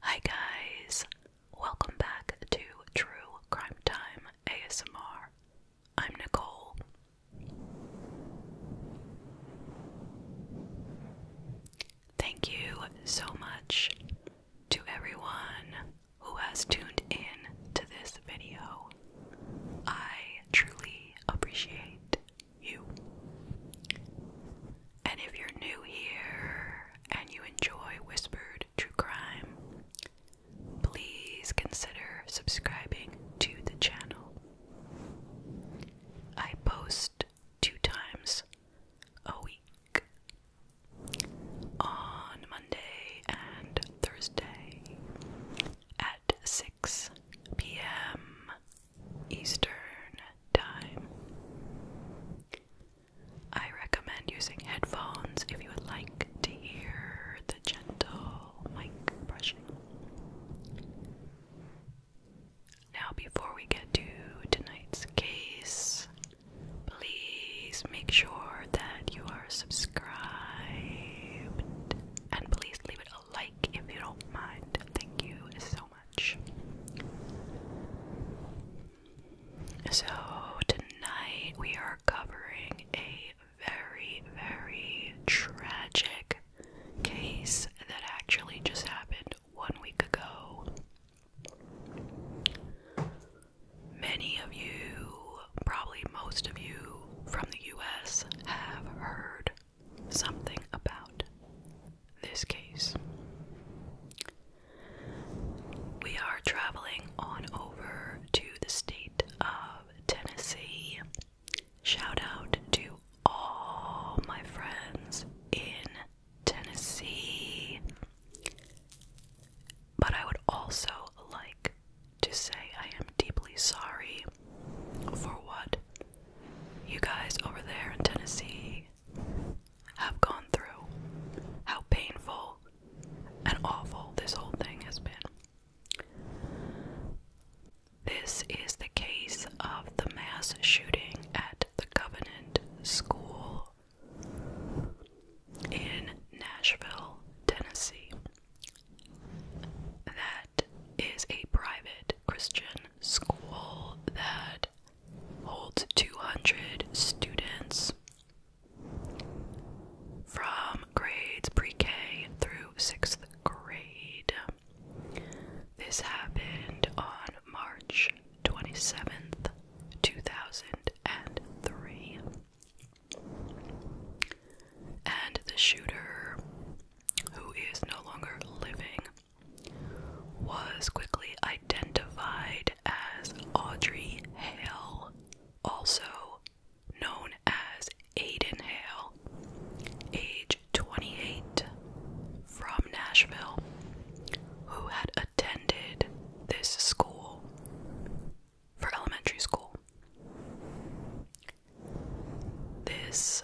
Hi, guys, welcome back to True Crime Time ASMR. I'm Nicole. Thank you so much to everyone who has tuned in to this video. I truly appreciate you. And if you're new here and you enjoy Whispered True Crime, please consider subscribing to the channel. I post two times a week on Monday and Thursday at 6 p.m. Eastern Time. I recommend using headphones if you would like to hear the gentle mic brushing. Now, before we get to tonight's case, Please make sure that you are subscribed. And please leave it a like if you don't mind. Thank you so much. So, tonight we are covering a very, very tragic case that actually just happened one week ago. Many of you, probably most of you from the US, have heard something about this case. We are traveling on over to the state of Tennessee. Shout out to all my friends in Tennessee. But I would also like to say I am deeply sorry for what you guys over there in Tennessee have gone through, how painful and awful this whole thing has been. This is the case of the mass shooting at the Covenant School in Nashville, Tennessee, that is a private Christian school that holds 200 students from grades pre K through sixth grade. This happened on March 27th, 2003. And the shooter, who is no longer living, was quickly identified as Audrey Hale, also known as Aiden Hale, age 28, from Nashville, who had attended this school for elementary school. This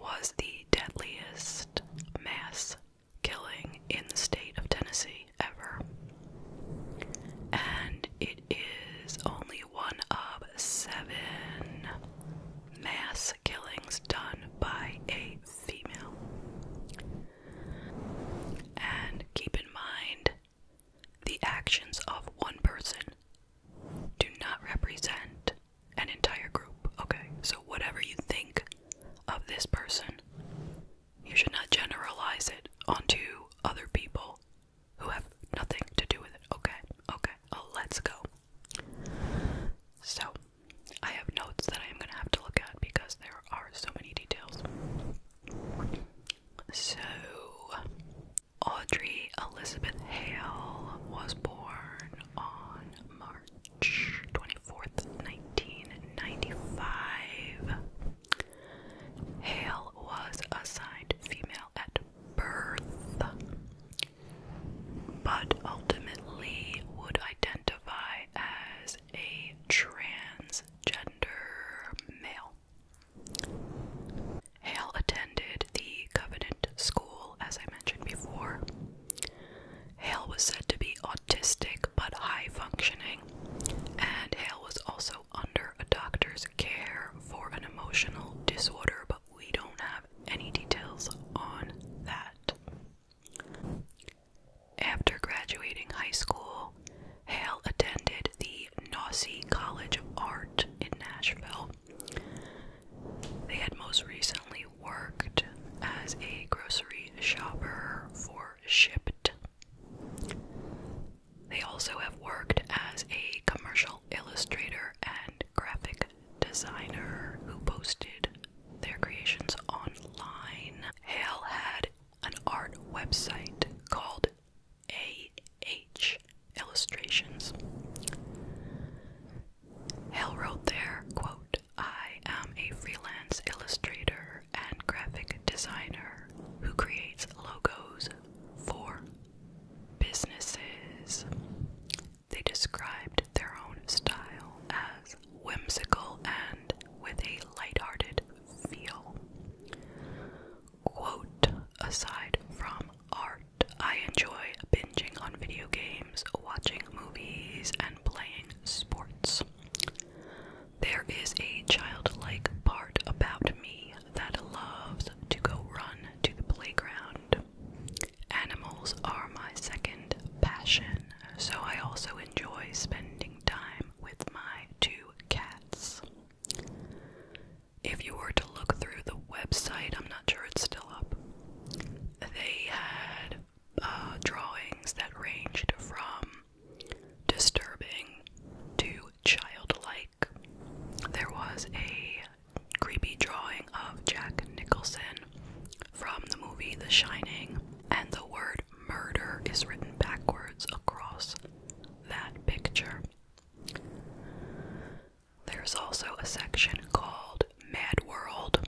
was the deadliest mass killing in the state of Tennessee ever. And it is only one of seven mass killings done by a female. And keep in mind the actions of one person do not represent an entire group. Okay, so whatever you think of this person, you should not generalize it onto other people who have nothing to do with it. Okay, okay, oh, let's go. So, I have notes that I am going to have to look at because there are so many details. So, Audrey Elizabeth Hale was born on March 24th, 1995. Hale was assigned female at birth, but ultimately would identify as a transgender male. Hale attended the Covenant School, as I mentioned before. Hale was said to be autistic but high functioning, and Hale was also under a doctor's care for an emotional disorder, but we don't have any details on that. After graduating high school, Hale attended the the College of Art in Nashville. They had most recently worked as a grocery shopper for Shipped. They also have worked as a commercial illustrator and graphic designer who posted their creations online. Hale had an art website called A.H. Illustrations. Hale wrote there, I am a freelance illustrator and graphic designer who creates logos for businesses. They described their own style as whimsical and with a light-hearted feel. Quote Aside from art, I enjoy binging on video games, watching movies, and playing sports. There is a childlike part about me that loves to go run to the playground. Animals are my second passion, so I also enjoy spending time with my two cats. If you were to look through the website, I'm not sure it's still up. They had uh, drawings that ranged from disturbing to childlike. There was a creepy drawing of Jack Nicholson from the movie The Shining, and the word murder is written backwards across that picture. There's also a section called Mad World,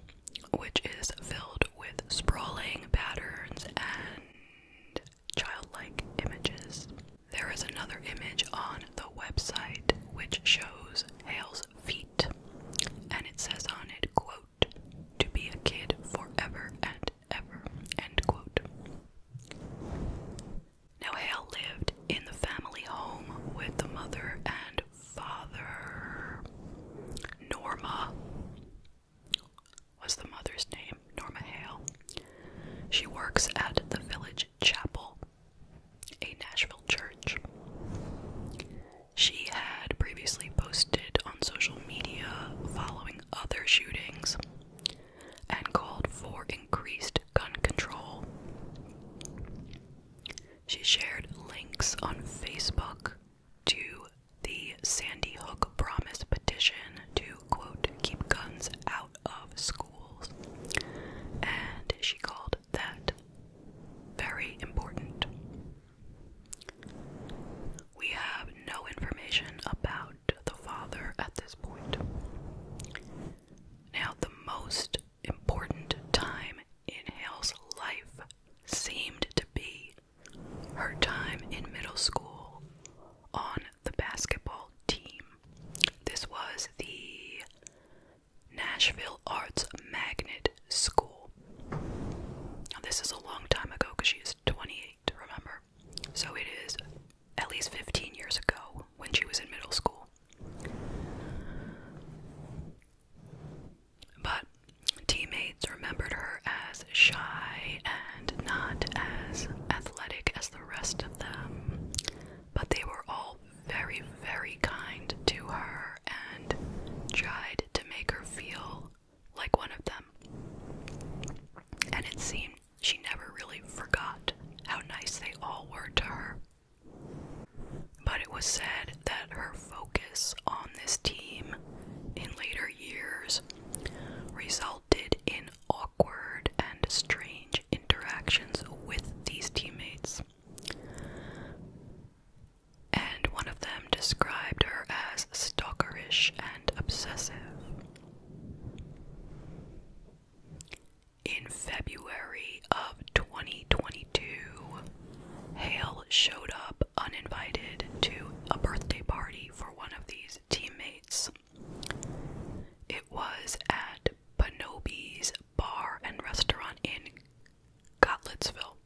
which is filled with sprawling patterns and childlike images. There is another image on the website which shows Hale's feet, and it says on it, quote, to be a kid forever and now Hale lived in the family home with the mother and father. Norma was the mother's name, Norma Hale. She works at the village chapel, a Nashville church. She had previously posted on social media following other shootings and called for increased gun control. She shared links on Facebook to the Sandy Hook Promise petition to, quote, keep guns out of schools. And she called that very important. We have no information about the father at this point. Now, the most important time in Hale's life seemed to be her time in middle school on the basketball team. This was the Nashville Arts Magnet School. Now, this is a long time ago because she is 28, remember? So it is at least 15 years ago when she was in middle school. But teammates remembered her as shy and not as athletic as the rest of them. But they were all very, very kind to her and tried to make her feel like one of them. And it seemed she never really forgot how nice they all were to her. But it was said that her focus on this team in later years resulted in awkward and strange interactions with these teammates. And one of them described her as stalkerish and obsessive. In February of 2022, Hale showed up uninvited to a birthday party for one of these teammates. It was at Bonobi's Bar and Restaurant in Gottlitzville.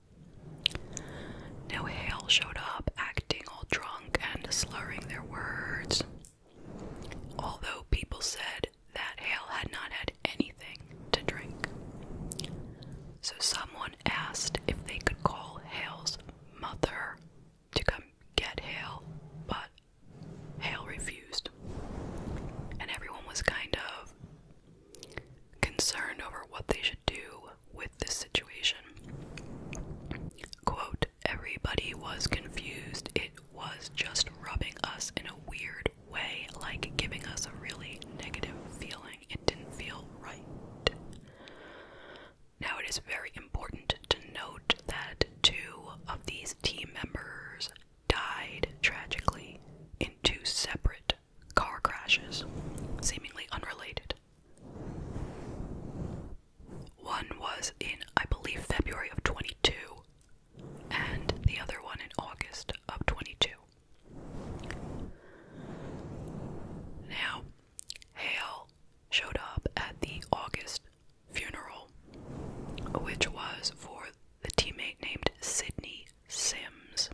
Now, Hale showed up acting all drunk and slurring their words. Although people said that Hale had not had anything to drink. So someone asked if they could call Hale's mother to come get Hale, but Hale refused. And everyone was kind of concerned over what they should do with this situation. Quote, everybody was confused. It was just rubbing us in a weird way, like giving us a really negative feeling. It didn't feel right. Now, it is very important to note that two of these team members died tragically in two separate car crashes, seemingly unrelated. One was in, I believe, February of 22, and the other one in August of 22. Now, Hale showed up at the August funeral, which was for the teammate named Sydney Sims.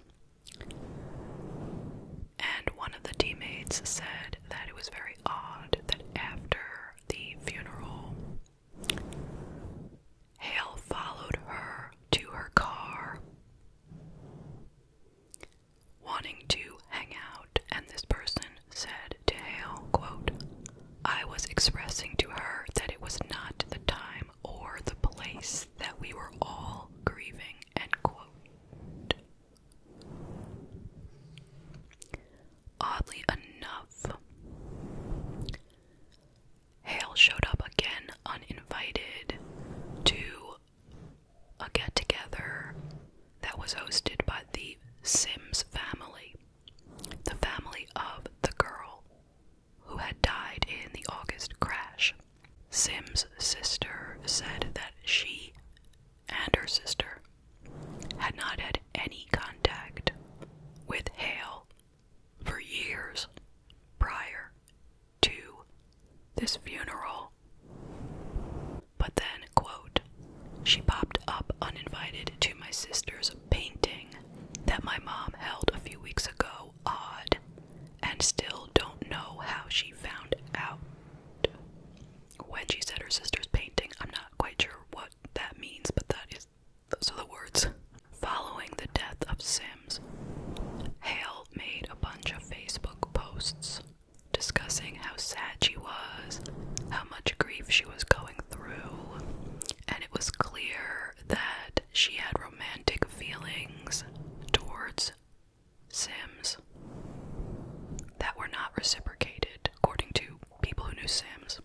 And one of the teammates said that it was very odd that after the funeral, Hale followed her to her car, wanting to hang out, and this person said to Hale, quote, I was expressing to her that it was not the time or the place that we were all grieving, end quote. Oddly enough, Hale showed up again uninvited to a get together that was hosted by the Sims family, the family of the girl who had died in the August crash. Sims' sister said that she and her sister had not had any contact with Hale for years prior to this funeral. But then, quote, she popped up uninvited to my sister's painting that my mom held a few weeks ago, odd, and still don't know how she found out when she said her sister's painting, I'm not quite sure what that means, but that is those are the words. Following the death of Sims, Hale made a bunch of Facebook posts discussing how sad she was, how much grief she was going through, and it was clear that she had romantic feelings towards Sims that were not reciprocated, according to people who knew Sims.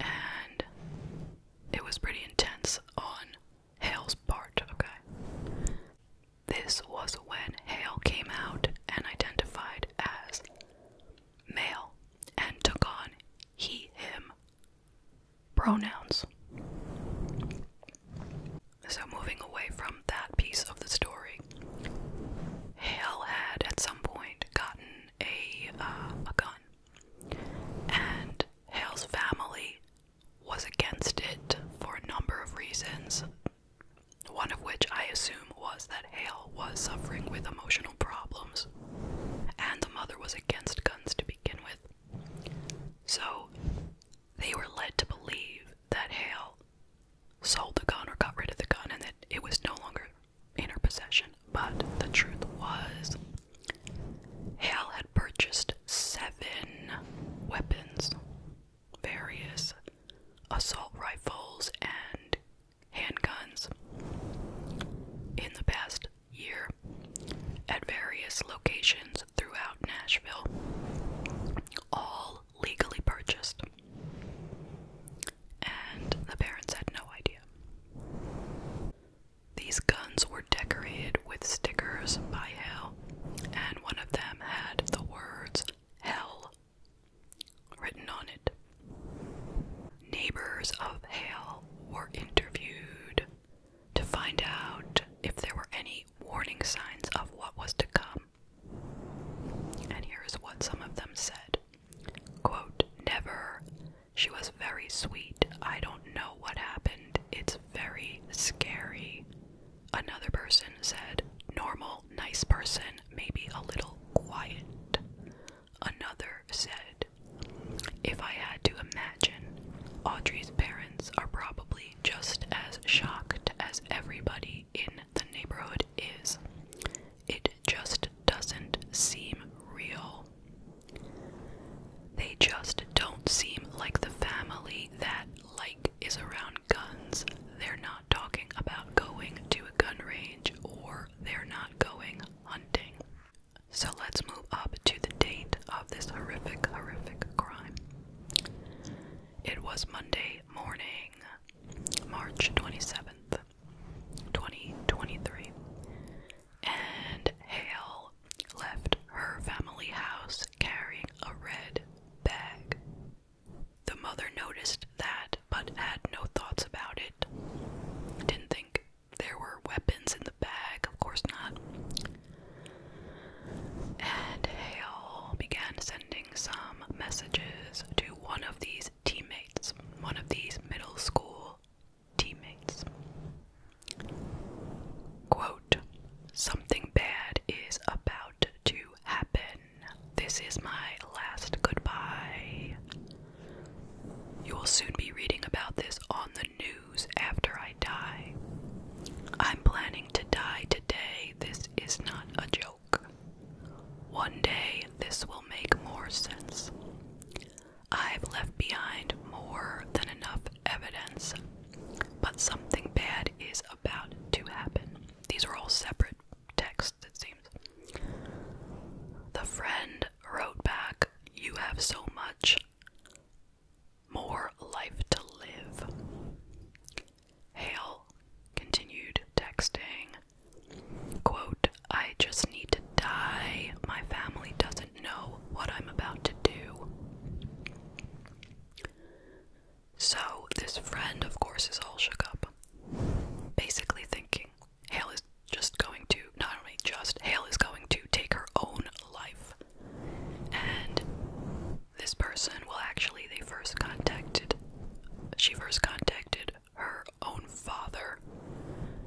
And it was pretty intense on Hale's part, okay? This was when Hale came out and identified as male and took on he, him pronouns. So, moving away from that piece of the story, Hale had at some point gotten a, uh, a gun, and Hale's family was against it for a number of reasons. One of which I assume was that Hale was suffering with emotional problems, and the mother was against guns to begin with. So, they were led to believe that Hale sold the gun or got rid of the gun and that it was no longer in her possession. But the truth was, Hale had purchased seven weapons various assault rifles and handguns in the past year at various locations throughout Nashville, all legally purchased. And the parents had no idea. These guns were decorated with stickers by Hell, and one of them had the words Hell written on it. Neighbors of Hale were interviewed to find out if there were any warning signs of what was to come. And here is what some of them said Quote, Never. She was very sweet. I don't know what happened. It's very scary. Another person said, Normal, nice person, maybe a little quiet. Another said, If I had to imagine, Audrey's parents are probably just as shocked as everybody in the neighborhood is. It just doesn't seem real. They just don't seem like the family that, like, is around guns. They're not talking about going to a gun range or they're not going hunting. So let's move up to the date of this horrific, horrific crime. It was Monday morning, March 27th, 2023, and Hale left her family house carrying a red bag. The mother noticed that but had no thoughts about it. Didn't think there were weapons in the bag, of course not. And Hale began sending some messages to one of these teammates, one of these middle school teammates. Quote, something bad is about to happen. This is my last goodbye. You will soon be reading about this on the news after I die. I'm planning to die today, this is not a joke. One day this will make more sense. I've left behind more than enough evidence, but something bad is about to happen. These are all separate texts, it seems. The friend wrote back, You have so much more life to live. Hale continued texting, quote, I just need to die. My family doesn't know what I'm about to do. So this friend, of course, is all shook up, basically thinking Hale is just going to, not only just, Hale is going to take her own life. And this person, well, actually, they first contacted, she first contacted her own father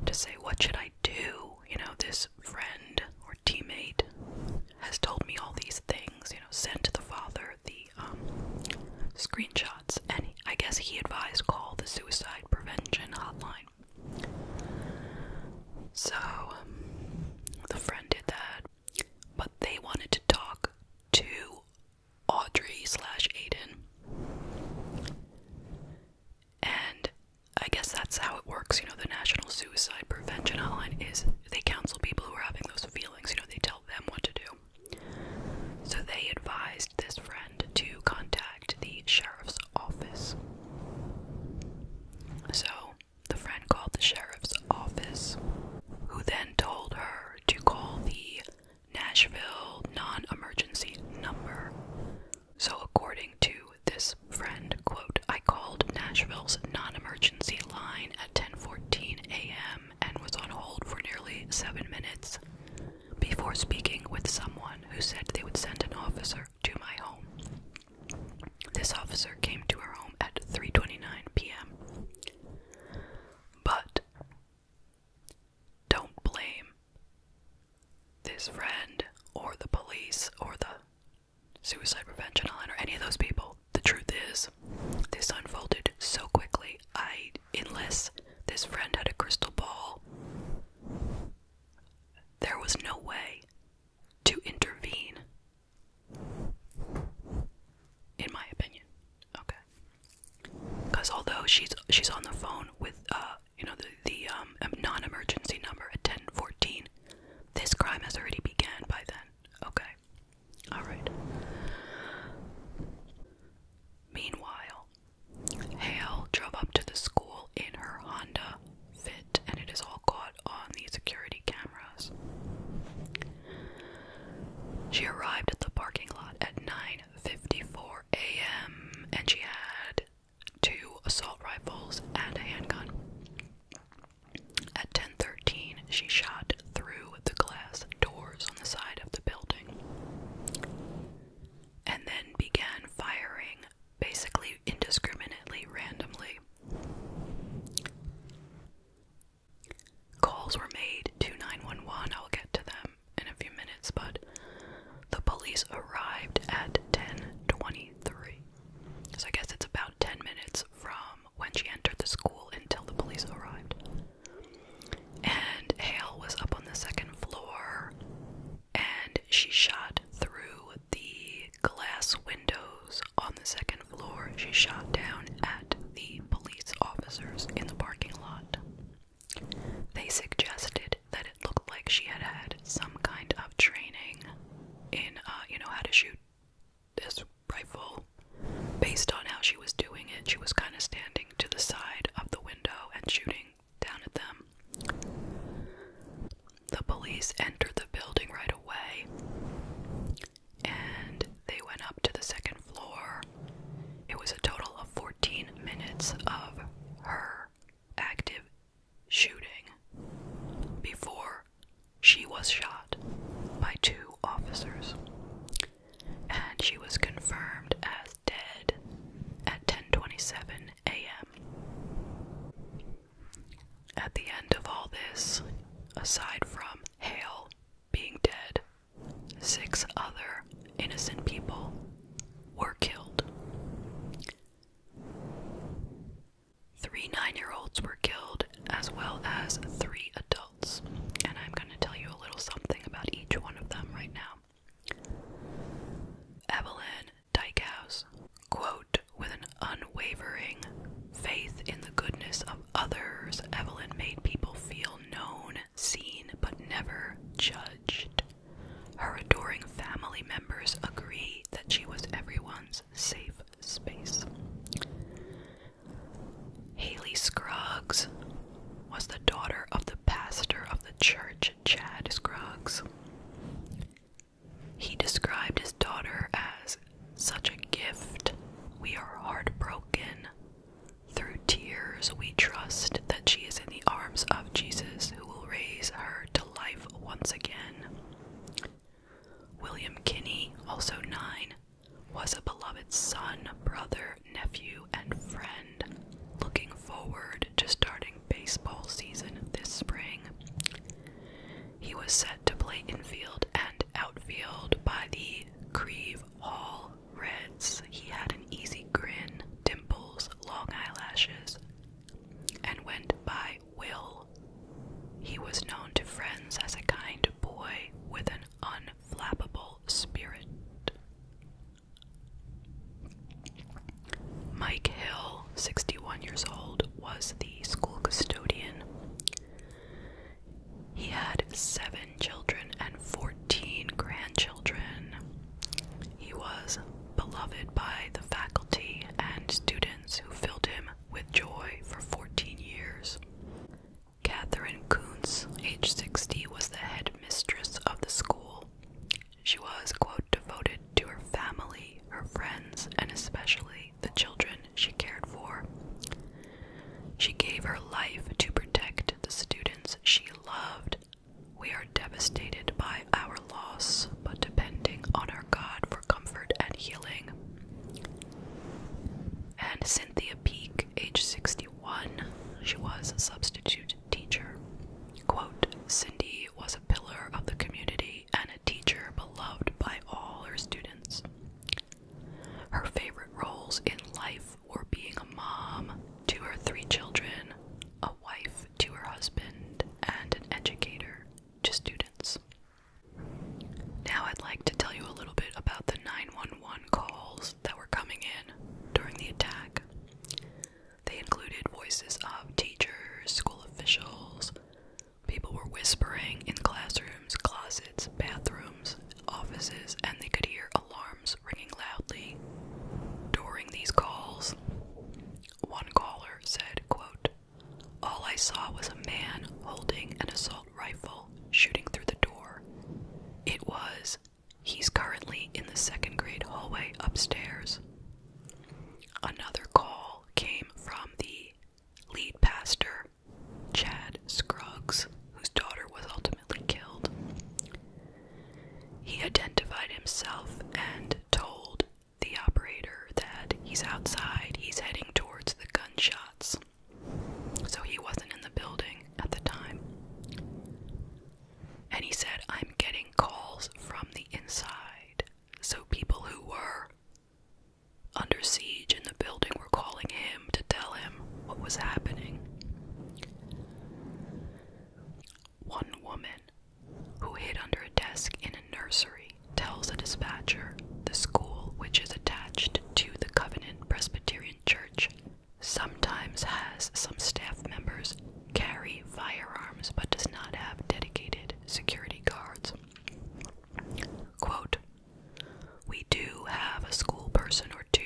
to say, What should I do? You know, this friend or teammate has told me all these things, you know, sent to the father the um, screenshots, and I guess he advised call the suicide prevention hotline. So, um, the friend did that, but they wanted to talk to Audrey slash Aiden. And I guess that's how it works. You know, the National Suicide Prevention Hotline is they counsel people who are having those feelings. You know, they tell them what to do. So they advised this friend to contact the sheriff's office. So the friend called the sheriff's office, who then told her to call the Nashville non emergency number. So, according to this friend, quote, I called Nashville's non emergency line at 10:14 a.m. and was on hold for nearly seven minutes before speaking with someone who said they would send an officer to my home. This officer came to our home at 3:29 p.m. But don't blame this friend or the police or the suicide prevention line or any of those people. The truth is, this unfolded so quickly. I unless this friend had a crystal ball, there was no way to intervene in my opinion, okay. Because although she's she's on the phone with uh you know the the um non-emergency number at ten fourteen, this crime has already began by then. Okay, all right. Meanwhile, Hale drove up to the school in her Honda Fit, and it is all caught on the security cameras. She arrived at the parking lot at 9:54 a.m. and she had two assault rifles and a handgun. At 10:13, she shot through the glass doors on the side of the building and then began firing basically indiscriminately randomly. Calls were made to 911. I'll get to them in a few minutes, but the police arrived at 10:23. So I guess it's about 10 minutes from when she entered the school until the police arrived. And Hale was up on the second floor and she shot through the glass window on the second floor, she shot down at the police officers in the parking lot. They suggested that it looked like she had had some kind of training in, uh, you know, how to shoot this rifle. Based on how she was doing it, she was kind of standing to the side of the window and shooting down at them. The police entered the building right away and they went up to the second floor. It was a total of 14 minutes of her active shooting before she was shot by two officers. And she was confirmed as dead at 10:27 a.m. At the end of all this, aside from Hale being dead, six other innocent people were killed. Three nine year olds were killed, as well as three adults. And I'm going to tell you a little something about each one of them right now. Evelyn Dykehouse, quote, with an unwavering faith in the goodness of others, Evelyn made people feel known, seen, but never judged. Her adoring family members agree that she was everyone's safe space. Haley Scruggs was the daughter of the pastor of the church, Chad Scruggs. He described his daughter as such a gift. We are heartbroken. Through tears, we trust that she is in the arms of Jesus, who will raise her to life once again. William Kinney, also nine, was a beloved son, brother, nephew, and friend, looking forward to starting baseball season this spring. He was set to play infield and outfield by the Creve Hall Reds. He had an easy grin, dimples, long eyelashes, and went by Will. He was known to friends as a kind boy with an unflappable spirit. Mike Hill, 61 years old, was the school custodian. He had seven children and 14 grandchildren. He was beloved by the faculty and students who filled him with joy for 14 years. Catherine Kuntz, age 60, was the headmistress of the school. She was, devoted to her family, her friends, and especially the children she cared for. She gave her life to protect the students she loved. We are devastated by our loss, but depending on our God for comfort and healing. And Cynthia Peak, age 61, she was a substitute teacher. Quote, Cindy was a pillar of the community and a teacher beloved by all her students. Her favorite roles in life were being a mom to her three children, a wife to her husband, and an educator to students. Now I'd like to tell you a little bit about the 911 calls that were coming in during the attack. They included voices of teachers, school officials, People were whispering in classrooms, closets, bathrooms, offices, and they could hear alarms ringing loudly. During these calls, one caller said, quote, All I saw was a man holding an assault rifle shooting through the door. It was, he's currently in the second grade hallway upstairs. Another call came from the lead pastor Chad Scruggs, whose daughter was ultimately killed. He identified himself and told the operator that he's outside, he's heading towards the gunshots. So he wasn't in the building at the time. And he said, I'm getting calls from the inside. So people who were under siege in the building were calling him to tell him what was happening. One woman who hid under a desk in a nursery tells a dispatcher the school which is attached to the Covenant Presbyterian Church sometimes has some staff members carry firearms but does not have dedicated security guards. Quote, we do have a school person or two.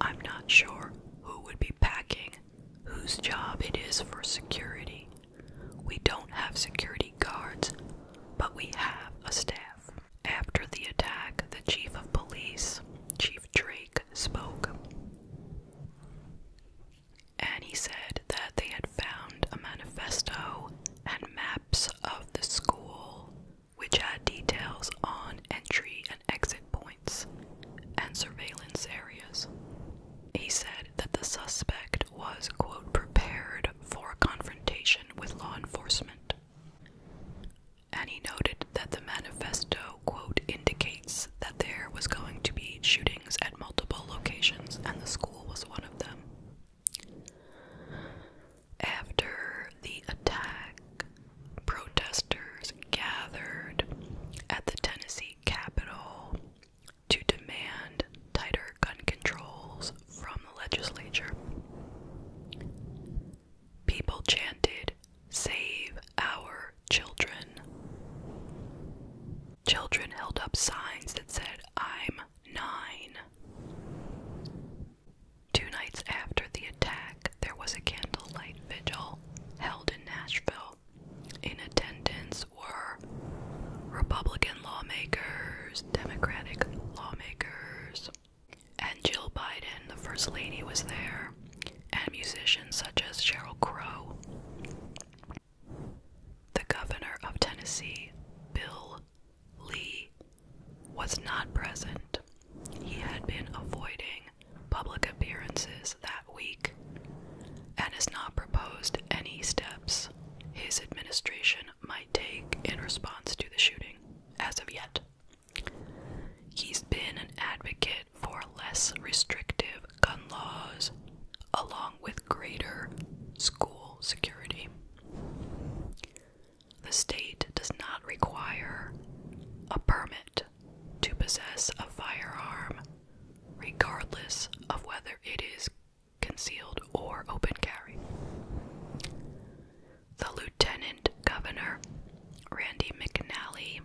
I'm not sure who would be packing, whose job it is for security. We don't have security guards, but we have a staff. After the attack, the chief of police, Chief Drake, spoke. And he said that they had found a manifesto and maps of the school, which had details on entry and exit points and surveillance areas. He said that the suspect was, quote, prepared for a confrontation with law enforcement. And he noted that the manifesto, quote, indicates that there was going to be shootings at multiple locations and the school was one of them. After the attack, protesters gathered at the Tennessee Capitol to demand tighter gun controls from the legislature. People chanted, Save our children. Children held up signs that said, I'm 9. Two nights after the attack, there was a candlelight vigil held in Nashville. In attendance were Republican lawmakers, Democratic lawmakers, and Jill Biden, the First Lady, was there, and musicians such as Cheryl Crow. The governor of Tennessee, Bill Lee was not present. He had been avoiding public appearances that week and has not proposed any steps his administration might take in response to the shooting as of yet. He's been an advocate for less restrictive gun laws, along with greater school security. The state does not require a permit to possess a firearm, regardless of whether it is concealed or open carry. The Lieutenant Governor, Randy McNally,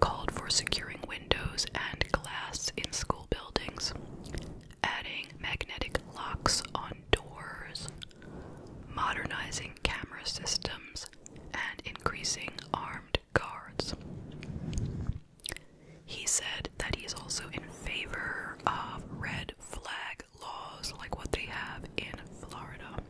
called for securing windows and glass in school buildings adding magnetic locks on doors, modernizing camera systems, and increasing armed guards. He said that he's also in favor of red flag laws like what they have in Florida.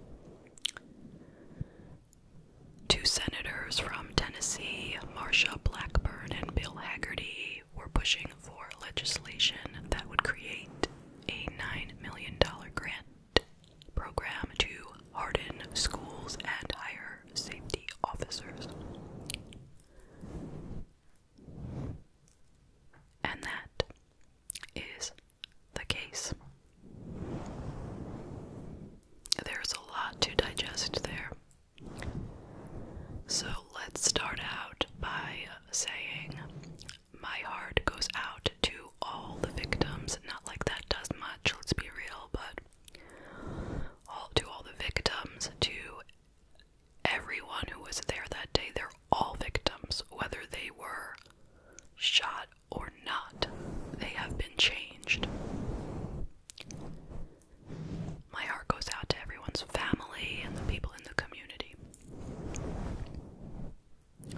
Two senators from Tennessee, Marsha Blackburn and Bill Hagerty, we're pushing for legislation that would create a $9 million grant program to harden schools and hire safety officers. And that is the case. There's a lot to digest there. So let's start out by saying, My heart goes out to all the victims. Not like that does much, let's be real, but all, to all the victims, to everyone who was there that day. They're all victims, whether they were shot or not. They have been changed. My heart goes out to everyone's family and the people in the community.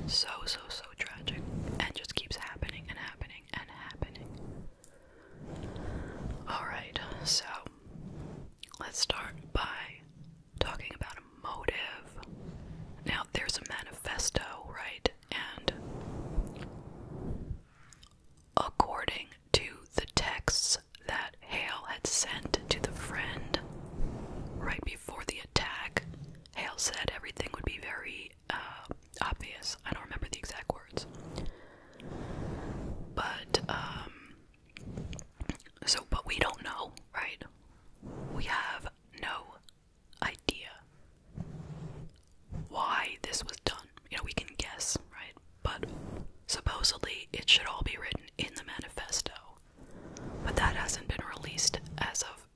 So, so, so tragic. And just keeps happening and happening and happening. Alright, so let's start by talking about a motive. Now, there's a manifesto, right? And according to the texts that Hale had sent to the friend right before the attack. Hale said everything would be very uh, obvious. I don't remember the exact words. But, um, so, but we don't know, right? We have no idea why this was done. You know, we can guess, right? but supposedly it should all be written in the manifesto. But that hasn't been released as of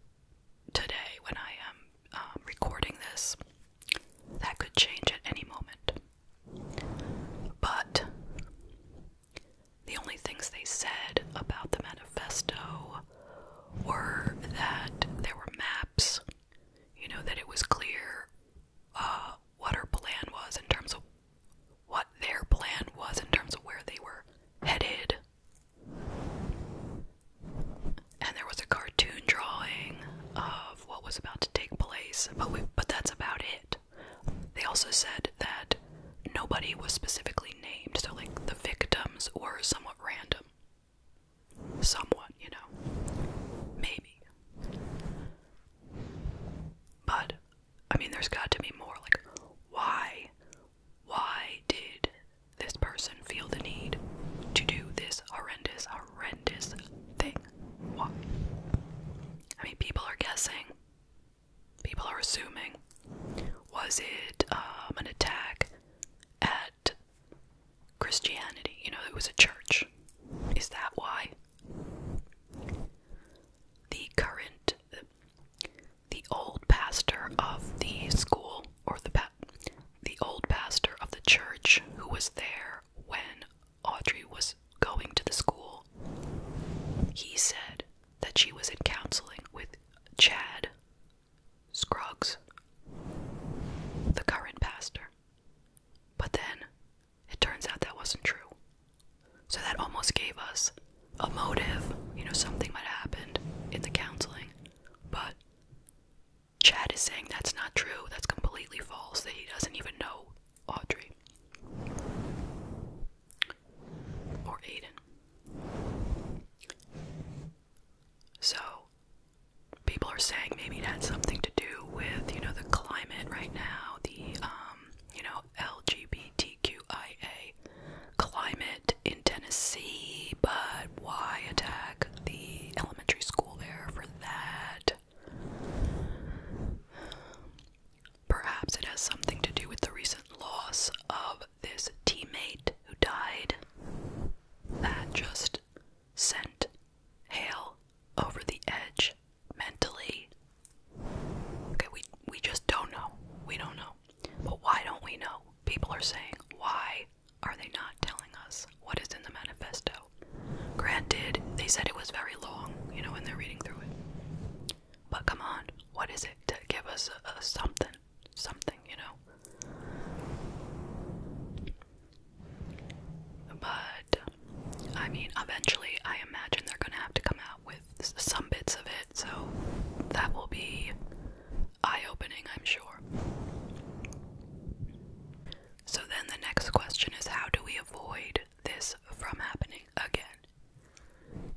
today when I am um, recording this. That could change at any moment. But the only things they said about the manifesto were that there were maps, you know, that it was clear what her plan was in terms of what their plan was in terms of where they were headed. And there was a cartoon drawing of what was about to take place, but we, but that's about it. They also said that nobody was specifically named, so like the victims were somewhat random. Somewhat, you know. Maybe. But I mean, there's got to be more. Like, why? Why did this person feel the need to do this horrendous, horrendous thing? Why? I mean, people are guessing. People are assuming. Was it um, an attack at Christianity? You know, it was a church. Is that why? the current, the old pastor of the school, or the pa the old pastor of the church who was there when Audrey was going to the school. He said that she was in counseling with Chad Scruggs, the current pastor. But then it turns out that wasn't true. So that almost gave us a motive. You know, something might have happened in the counseling. But Chad is saying that's not true. That's completely false. That he doesn't even know Audrey or Aiden. So people are saying maybe it had something to do with, you know, the climate right now, the um um, you know, LGBTQIA climate in Tennessee, but why attack the elementary school there for that? Perhaps it has something to do with the recent loss of this teammate who died. That just sent Hale over the edge mentally. Okay, we we just don't know. We don't know. But why don't we know? People are saying, why are they not telling us what is in the manifesto? Granted, they said it was very long, you know, when they're reading through it. But come on, what is it to give us a, something? Something, you know? But I mean, eventually, I imagine they're gonna have to come out with some bits of it, so that will be eye opening, I'm sure. So then the next question is how do we avoid this from happening again?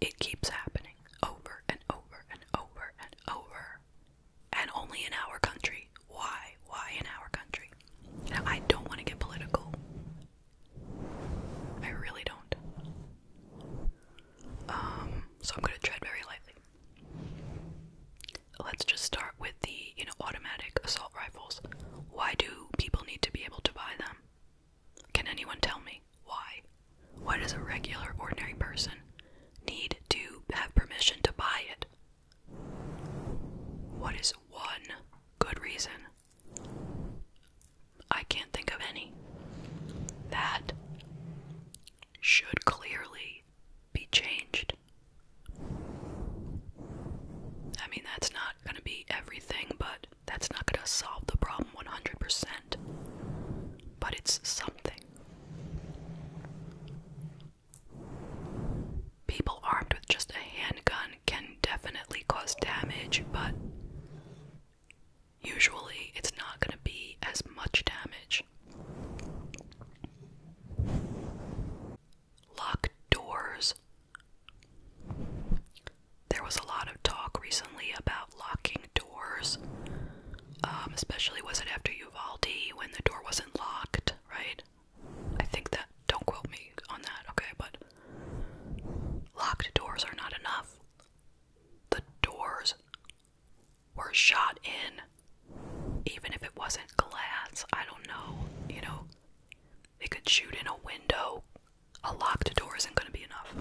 It keeps happening over and over and over and over. And only in our country. Why? Why in our country? Now, I don't want to get political. I really don't. Um, so I'm gonna tread very lightly. Let's just start with the, you know, automatic assault rifles. Why do people need to be able to buy them? Can anyone tell me why? Why does a regular, ordinary person need to have permission to buy it? What is one good reason I can't think of any that should clearly be changed. I mean, that's not going to be everything, but that's not going to solve the problem 100%. But it's something. People armed with just a handgun can definitely cause damage, but usually it's not going to be as much damage. Locked doors. There was a lot of talk recently about locking doors, um, especially was it after Uvalde when the door wasn't locked, right? I think that, don't quote me on that, okay, but locked doors are not enough. The doors were shot in, even if it wasn't glass. I don't know, you know, they could shoot in a window. A locked door isn't going to be enough.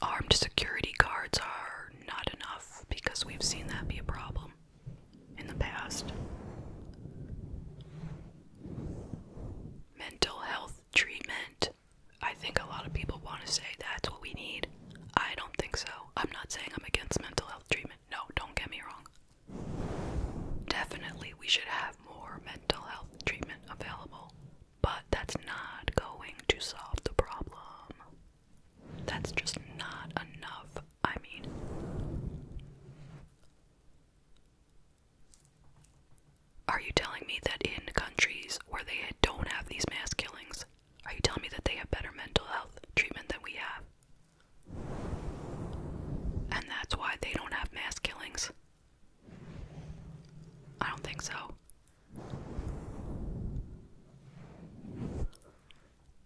Armed security guards are not enough because we've seen that be a problem in the past. Mental health treatment. I think a lot of people want to say that's what we need. I don't think so. I'm not saying I'm against mental health treatment. No, don't get me wrong. Definitely, we should have more mental health treatment available, but that's not going to solve the problem. That's just not enough. I mean, are you telling me that in countries where they don't have these mass killings, are you telling me that they have better mental health treatment than we have? And that's why they don't have mass killings? I don't think so.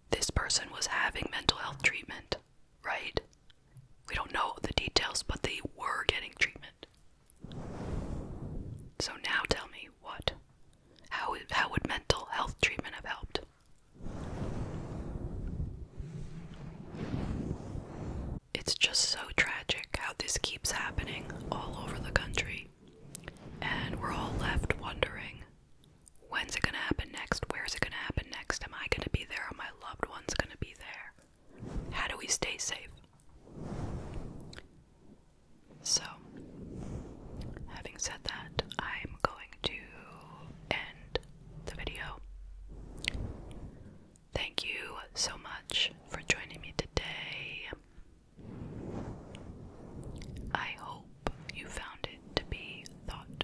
This person was having mental health treatment, right? We don't know the details, but they were getting treatment. So now tell me what? How, would mental health treatment have helped? It's just so tragic how this keeps happening all over the country, and we're all left wondering When's it gonna happen next? Where's it gonna happen next? Am I gonna be there? Are my loved ones gonna be there? How do we stay safe? So, having said that, I'm going to end the video. Thank you so much for joining me today. I hope you found it to be thought